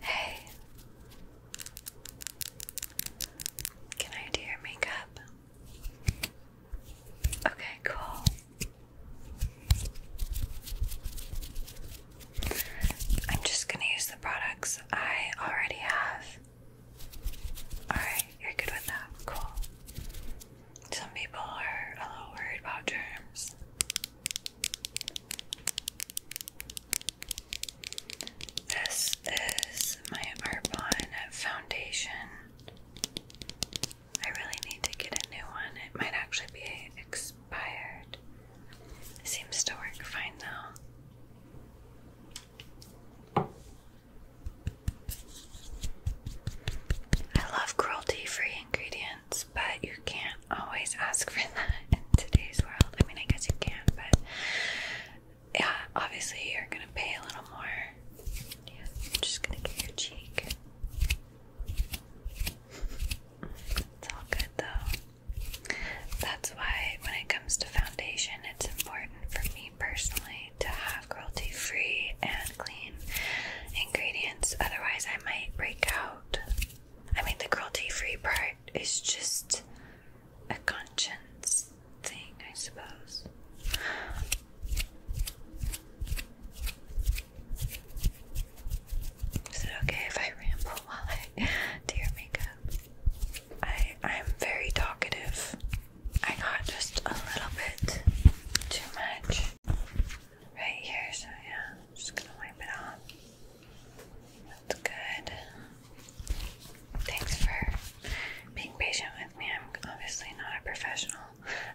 Hey, can I do your makeup? Okay, cool. I'm just gonna use the products I already have. Alright, you're good with that. Cool. Some people are a little worried about germs. This is my Arbonne foundation. I really need to get a new one. It might actually be expired. seems to work fine though. I love cruelty free ingredients but you can't always ask for that in today's world. I mean, I guess you can, but yeah, obviously you're gonna pay a little more. Yeah, I'm just gonna get your cheek. It's all good though. That's why when it comes to foundation, it's important for me personally to have cruelty free and clean ingredients. Otherwise, I might break out I mean, the cruelty free part is just a conscience thing, I suppose. Is it okay if I ramble while I do your makeup? I I'm very talkative. I got just a little bit too much right here, so yeah, I'm just gonna wipe it off. That's good. Thanks for being patient with me. I'm obviously not a professional.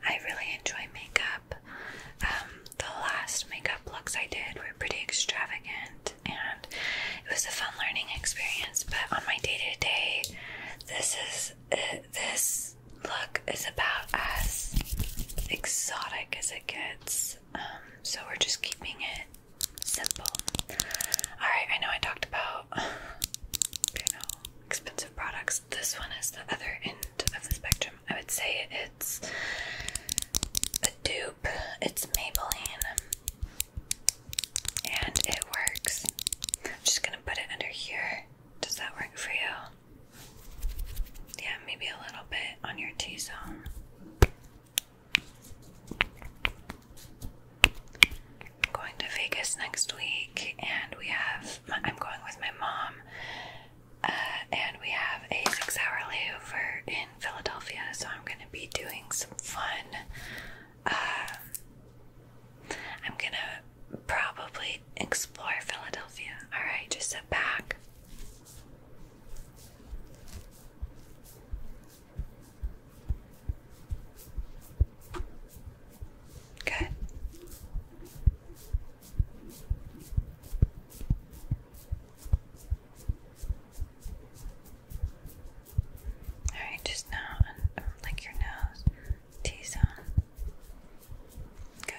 I really enjoy makeup. Um, the last makeup looks I did were pretty extravagant and it was a fun learning experience, but on my day to day, this is uh, this look is about as exotic as it gets. Um, so we're just keeping it simple. Alright, I know I talked about you know expensive products. This one is the other end of the spectrum. I would say it's a dupe. It's Maybelline. And it works. I'm just gonna put it under here. Does that work for you? Yeah, maybe a little bit on your T zone. I'm going to Vegas next week, and we have, I'm going with my mom, uh, and we have a six hour layover in Philadelphia, so I'm going to be doing some fun. Uh, I'm going to probably explore Philadelphia. Alright, just sit back. Good. All right, just now, like your nose, T zone. Good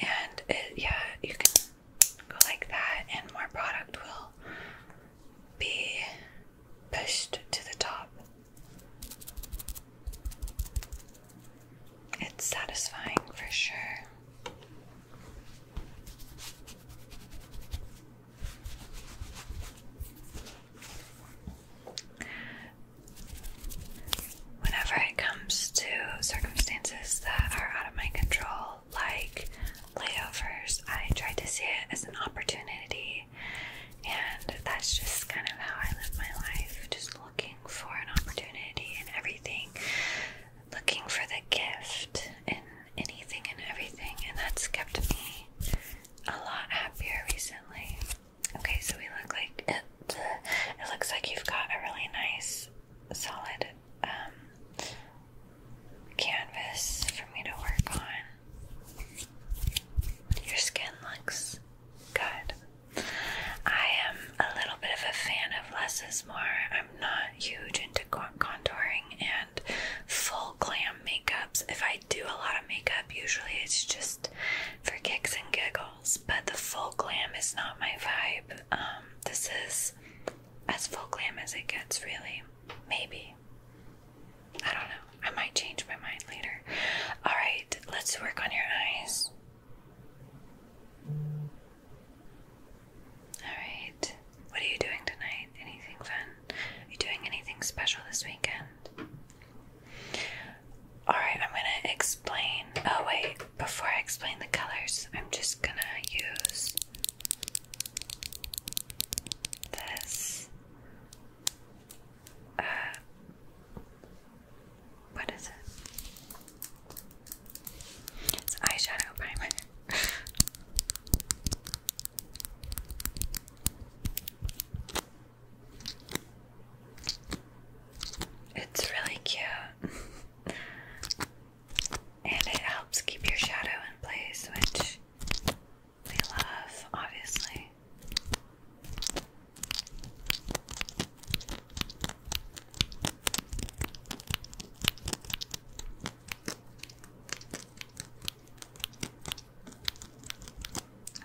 and yeah, you can go like that, and more product will be pushed to the top. It's satisfying for sure whenever it comes to circumstances that are out of my control, like layovers, I try to see it as an opportunity, and that's just kind of how I live my life just looking for an opportunity in everything, looking for the gift in anything and everything, and that's kept me a lot happier recently. Okay, so we look like it, it looks like you've got a really nice solid um, canvas for me to work on. Your skin looks good. I am a little bit of a fan of less is more. I'm not huge into contouring and full glam makeups. If I do a lot of makeup, usually it's just for kicks and giggles but the full glam is not my vibe. Um, this is as full glam as it gets, really. Maybe. I don't know. I might change my mind later. Alright, let's work on your eyes. Alright. What are you doing tonight? Anything fun? Are you doing anything special this weekend? Alright, I'm gonna explain. Oh, wait, before I explain the colors, I'm just gonna use this. Uh, what is it? It's eyeshadow primer. It's really cute. and it helps keep your shadow in place, which we love, obviously.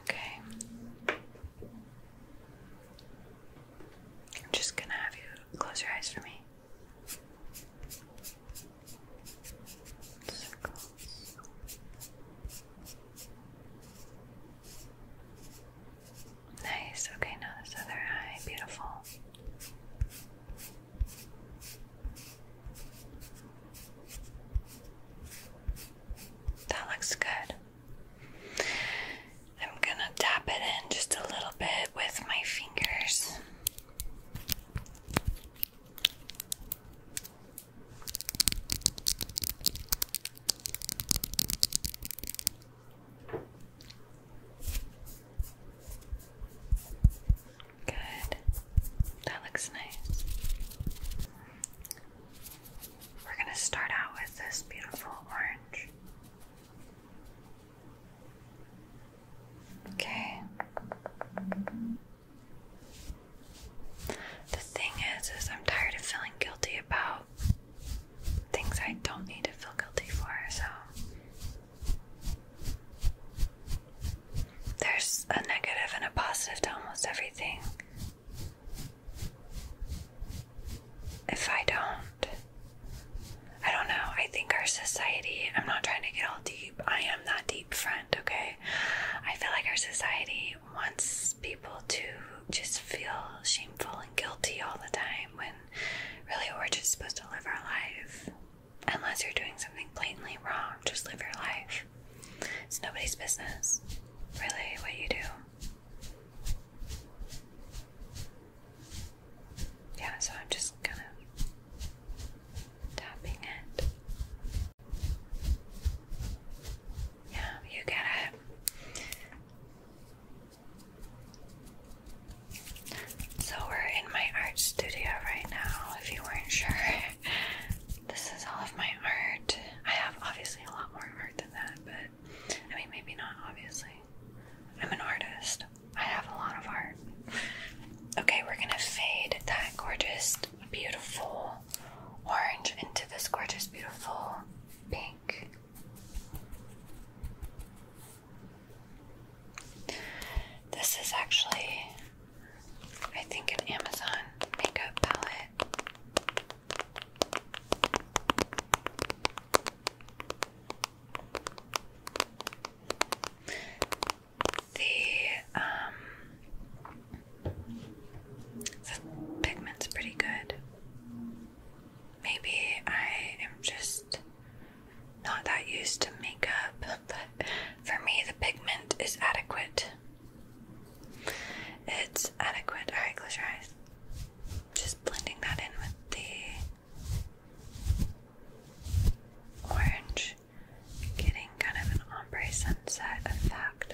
Okay. I'm just gonna have you close your eyes for me. Nice. Okay, now this other eye. Beautiful. That looks good. I'm gonna tap it in just a little bit with my fingers. Good. That looks nice. We're going to start out with this beautiful orange. Okay. The thing is, is I'm tired of feeling guilty about things I don't need to feel guilty for, so there's a negative and a positive to almost everything. If I don't, I don't know. I think our society, I'm not trying to get all deep. I am that deep friend, okay? I feel like our society wants people to just feel shameful and guilty all the time when really we're just supposed to live our life. Unless you're doing something blatantly wrong, just live your life. It's nobody's business, really, what you do. Yeah, so I'm just gonna tapping it. Yeah, you get it. So we're in my art studio right now, if you weren't sure. This is all of my art. I have obviously a lot more art than that, but I mean, maybe not, obviously. I'm an artist. I have a lot of art. Okay, we're gonna fade that gorgeous, beautiful orange into this gorgeous, beautiful pink. This is actually, I think, an Amazon makeup palette. The um the pigment's pretty good. Maybe I am just not that used to makeup, but for me the pigment is adequate. It's adequate. Alright, close your eyes. Just blending that in with the orange, getting kind of an ombre sunset effect.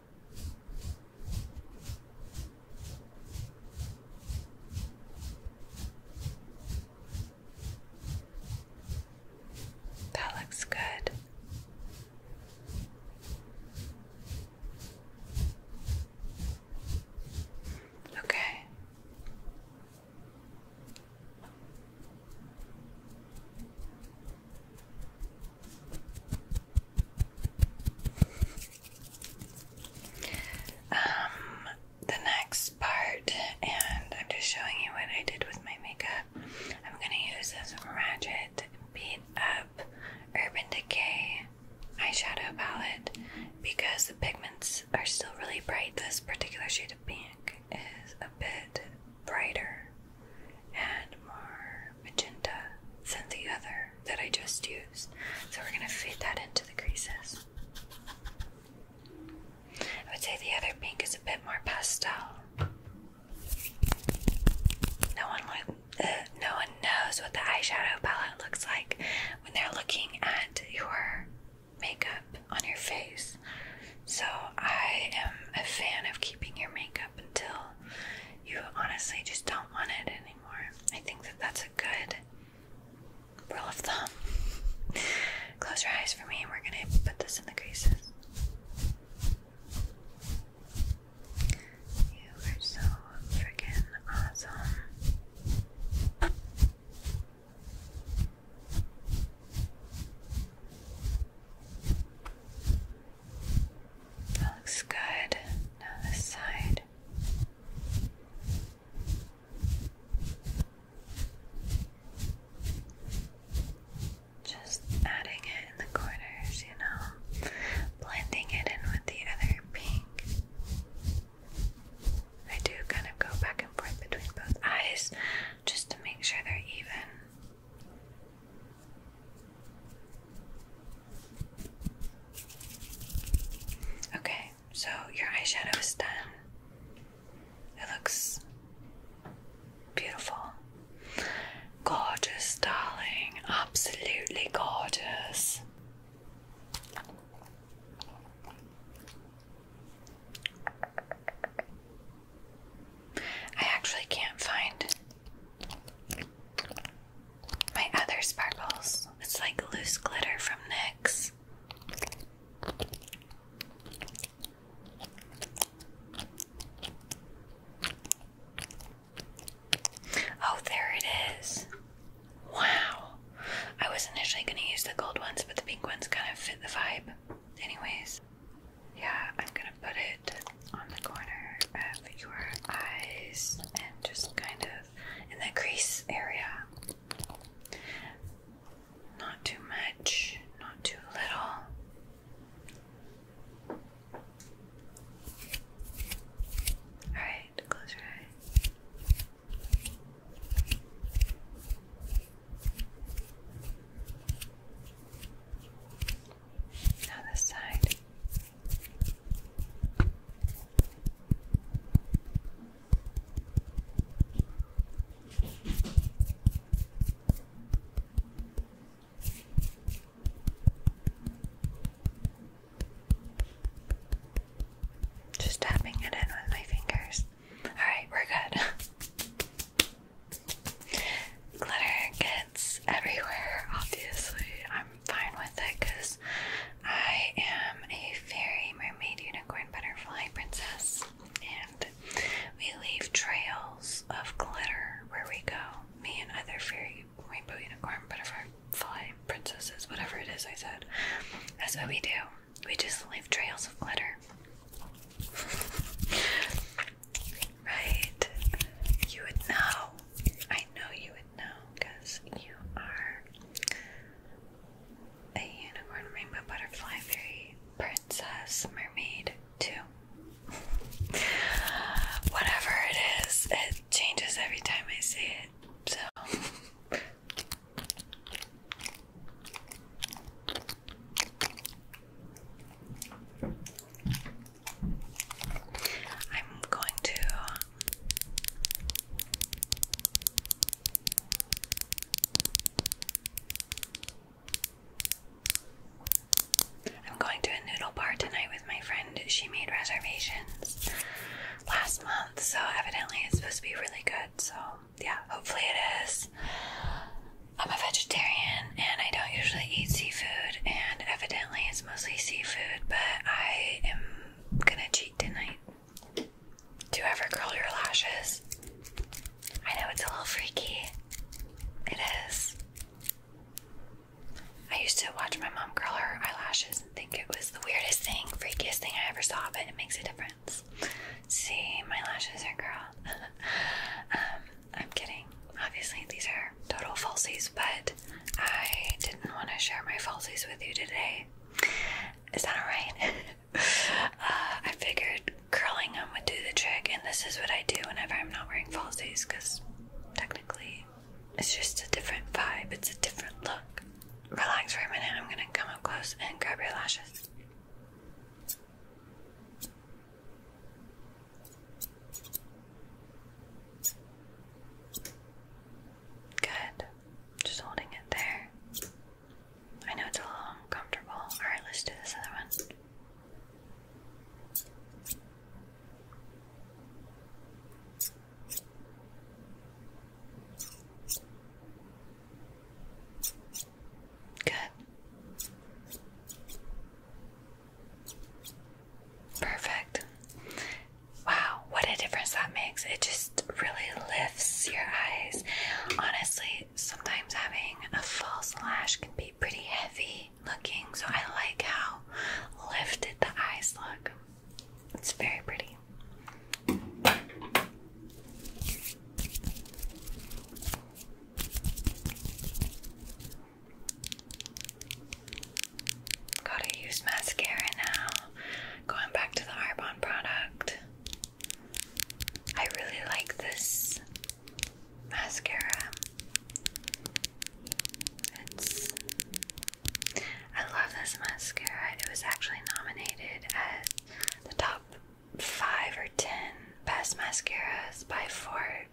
That looks good. Okay. Um, the next part, and I'm just showing you what I did with my makeup. I'm gonna use this Ratchet Beat Up Urban Decay eyeshadow palette because the pigments are still really bright. This particular shade of pink is a bit brighter and more magenta than the other that I just used. So we're going to fade that into the creases. I would say the other pink is a bit more pastel. No one uh, no one knows what the eyeshadow palette looks like when they're looking at your makeup on your face. So I am a fan of keeping your makeup until you honestly just don't want it anymore. I think that that's a good rule of thumb. Close your eyes for me, we're going to put this in the creases. You are so freaking awesome. That looks good. Now this side. Just adding it in the corners, you know, blending it in with the other pink. I do kind of go back and forth between both eyes just to make sure they're even. Okay, so your eyeshadow is done. It looks beautiful. Gorgeous, darling. Absolutely gorgeous. I actually can't find my other sparkles. It's like loose glitter from NYX. Oh, there it is. Wow. I was initially going to use the gold ones, but the pink ones kind of fit the vibe. Anyways, yeah, I'm going to put it on the corner of uh, your eyes and just kind of in the crease area. Not too much, not too little. Alright, close your eyes. Now this side. Just tapping it in with my fingers. All right, we're good. Glitter gets everywhere, obviously. I'm fine with it because I am a fairy, mermaid, unicorn, butterfly, princess, and we leave trails of glitter where we go. Me and other fairy, rainbow, unicorn, butterfly, princesses, whatever it is I said. That's what we do. We just leave trails of glitter. Right? You would know. I know you would know because you are a unicorn, rainbow, butterfly, fairy, princess, mermaid, too. Whatever it is, it changes every time I say it. So. I'm going to I'm going to a noodle bar tonight with my friend. She made reservations last month, so evidently it's supposed to be really good. So, yeah, hopefully it is. I'm a vegetarian and I don't usually eat seafood, and evidently it's mostly seafood, but I am gonna cheat tonight. Do you ever curl your lashes? I know it's a little freaky. It is. I used to watch my mom curl her eyelashes and think it was the weirdest thing, freakiest thing I ever saw, but it makes a difference. See, my lashes are curled. um, I'm kidding. Obviously, these are total falsies, but I didn't want to share my falsies with you today. Is that alright? Uh, I figured curling them would do the trick, and this is what I do whenever I'm not wearing falsies because technically it's just a different vibe, it's a different look. Relax for a minute, I'm gonna come up close and grab your lashes. Good. Just holding it there. I know it's a little uncomfortable. Alright, let's do this other one. Good. Perfect. Wow, what a difference that makes. It just really lifts your eyes. Honestly, sometimes having a false lash can be pretty heavy looking, so I like how lifted the eyes look. It's very pretty. Gotta use mascara now. Going back to the Arbonne product. I really like this mascara. It's I love this mascara. It was actually nominated as the top five or ten best mascaras by Forbes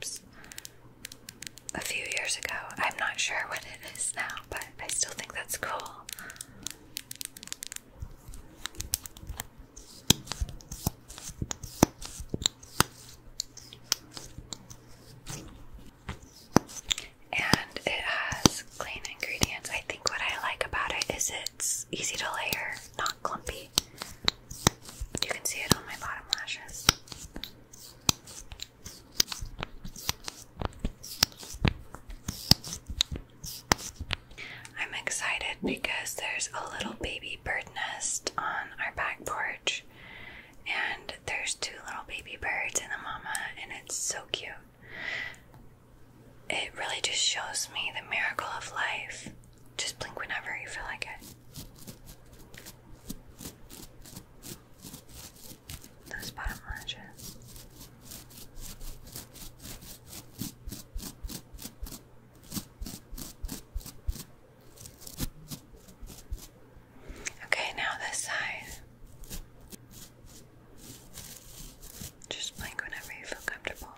a few years ago. I'm not sure what it is now, but I still think that's cool. And it has clean ingredients. I think what I like about it is it's easy to layer, not clumpy. You can see it on my bottom lashes. I'm excited because there's a little baby bird nest on our back porch, and there's two little baby birds and the mama, and it's so cute. It really just shows me the miracle of life just blink whenever you feel like it. Those bottom lashes. Okay, now this side. Just blink whenever you feel comfortable.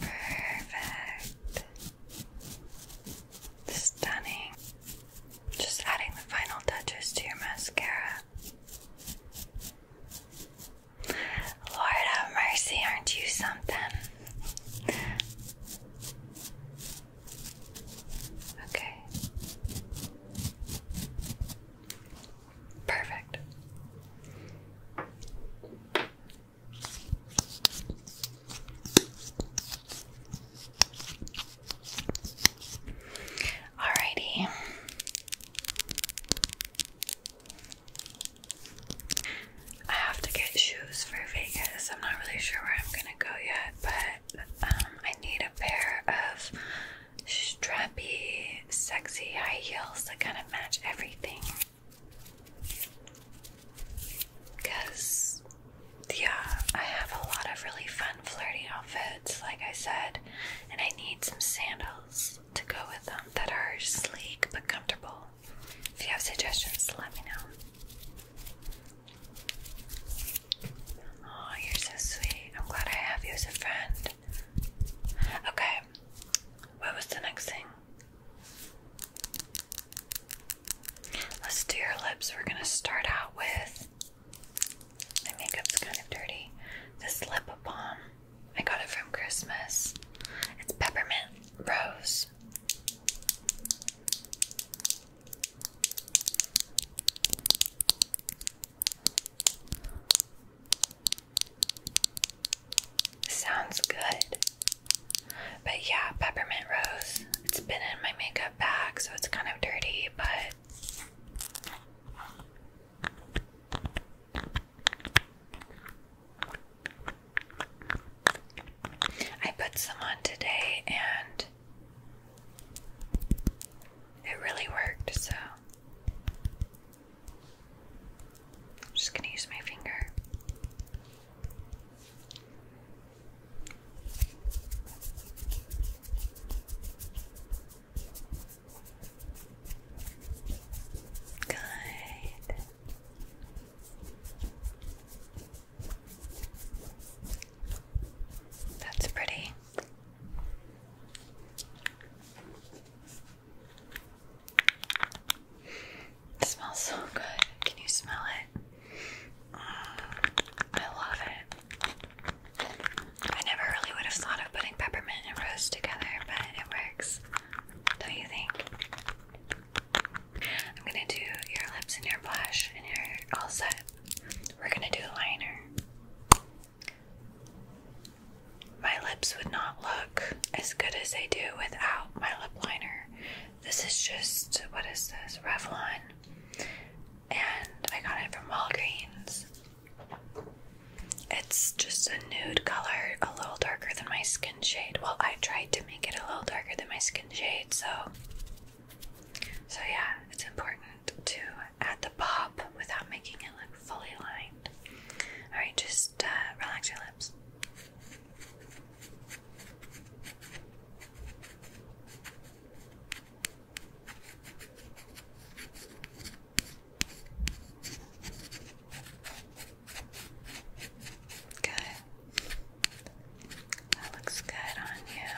Perfect. Stunning. Just adding the final touches to your mascara. Lord have mercy, aren't you something? Okay. Perfect. Alrighty. I have to get shoes for Vegas. I'm not really sure where I'm gonna go yet, but um, I need a pair of strappy, sexy high heels that kind of match everything. Because, yeah, I have a lot of really fun, flirty outfits, like I said, and I need some sandals to go with them that are sleek but comfortable. If you have suggestions, let me know. Oh, you're so sweet. I'm glad I have you as a friend. Okay, what was the next thing? Let's do your lips. We're gonna start out with my makeup's kind of dirty. This lip balm. I got it from Christmas. It's peppermint rose. Sounds good. But yeah, peppermint rose. It's been in my makeup bag, so it's kind of dirty, but. I put some on today and it really worked, so I'm just going to use my finger. Good. That's pretty. It smells so good. Can you smell it? Mm, I love it. I never really would have thought of putting peppermint and rose together, but it works. Don't you think? I'm gonna do your lips and your blush, and you're all set. We're gonna do liner. My lips would not look as good as they do without my lip liner. This is just what is this? Revlon, and I got it from Walgreens. It's just a nude color, a little darker than my skin shade. Well, I tried to make it a little darker than my skin pumpkin shade, so so yeah, it's important to add the pop without making it look fully lined. Alright, just uh, relax your lips. Good. That looks good on you.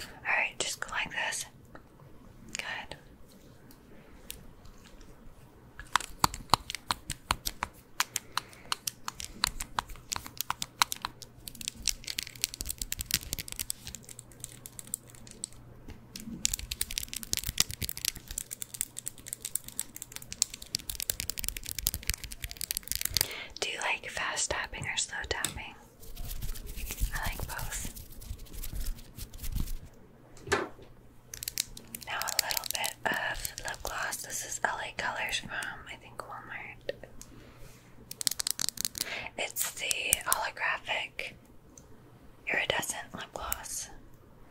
All right, just go like this. Good. Do you like fast tapping or slow tapping? I like both. Now, a little bit of lip gloss. This is LA Colors from, I think, Walmart. It's the holographic iridescent lip gloss.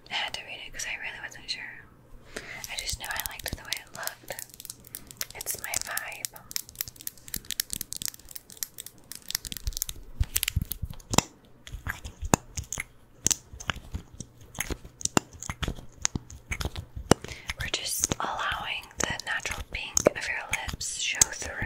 I had to read it because I really wasn't sure. I just knew I liked the way it looked. It's my vibe. We're just allowing the natural pink of your lips show through.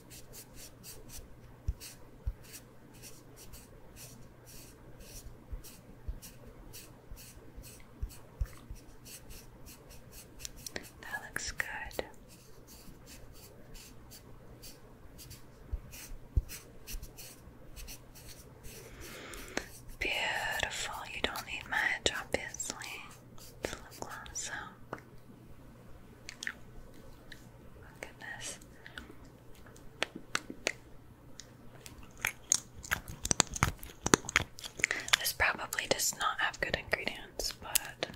That looks good. Beautiful. You don't need much, obviously. It's lip gloss, so goodness. This probably does not have good ingredients, but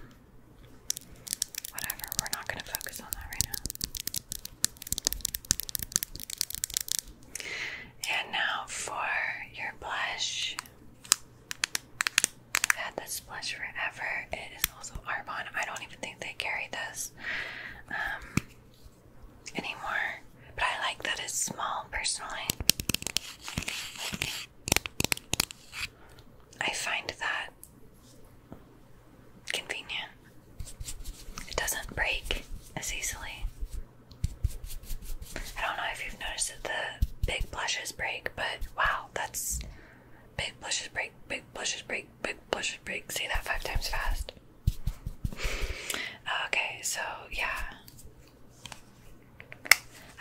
whatever, we're not going to focus on that right now. And now for your blush. I've had this blush forever. It is also Arbonne. I don't even think they carry this um, anymore, but I like that it's small personally. I find that convenient. It doesn't break as easily. I don't know if you've noticed that the big blushes break, but Wow, that's big blushes break, big blushes break, big blushes break. Say that five times fast. Okay, so yeah.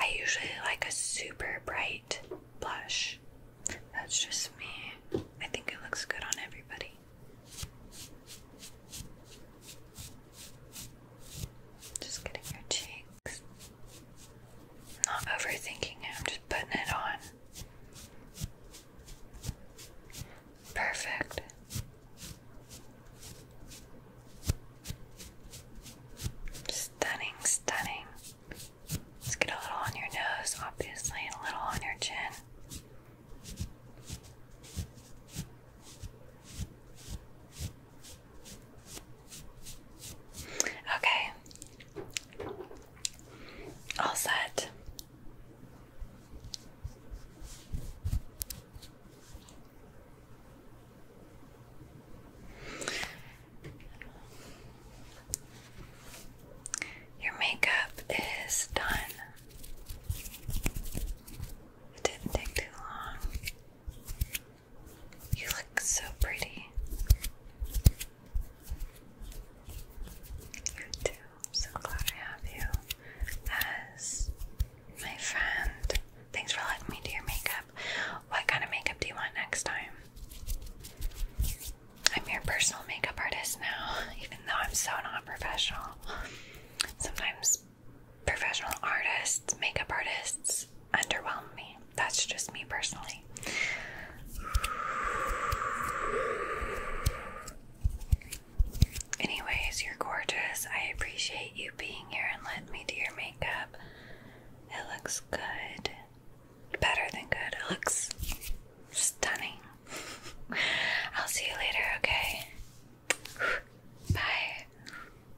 I usually like a super bright blush. That's just me. I think it looks good on everybody. Just getting your cheeks. Not overthinking it, I'm just putting it on. Perfect. Stunning, stunning. Let's get a little on your nose, obviously, a little on your chin. Okay. All set. Your makeup is done. It didn't take too long. You look so pretty. You too. so glad I have you as my friend. Thanks for letting me do your makeup. What kind of makeup do you want next time? I'm your personal makeup artist now, even though I'm so non professional. Sometimes professional artists, makeup artists underwhelm me. That's just me personally. Anyways, you're gorgeous. I appreciate you being here and letting me do your makeup. It looks good. Better than good. It looks stunning. I'll see you later, okay? Bye.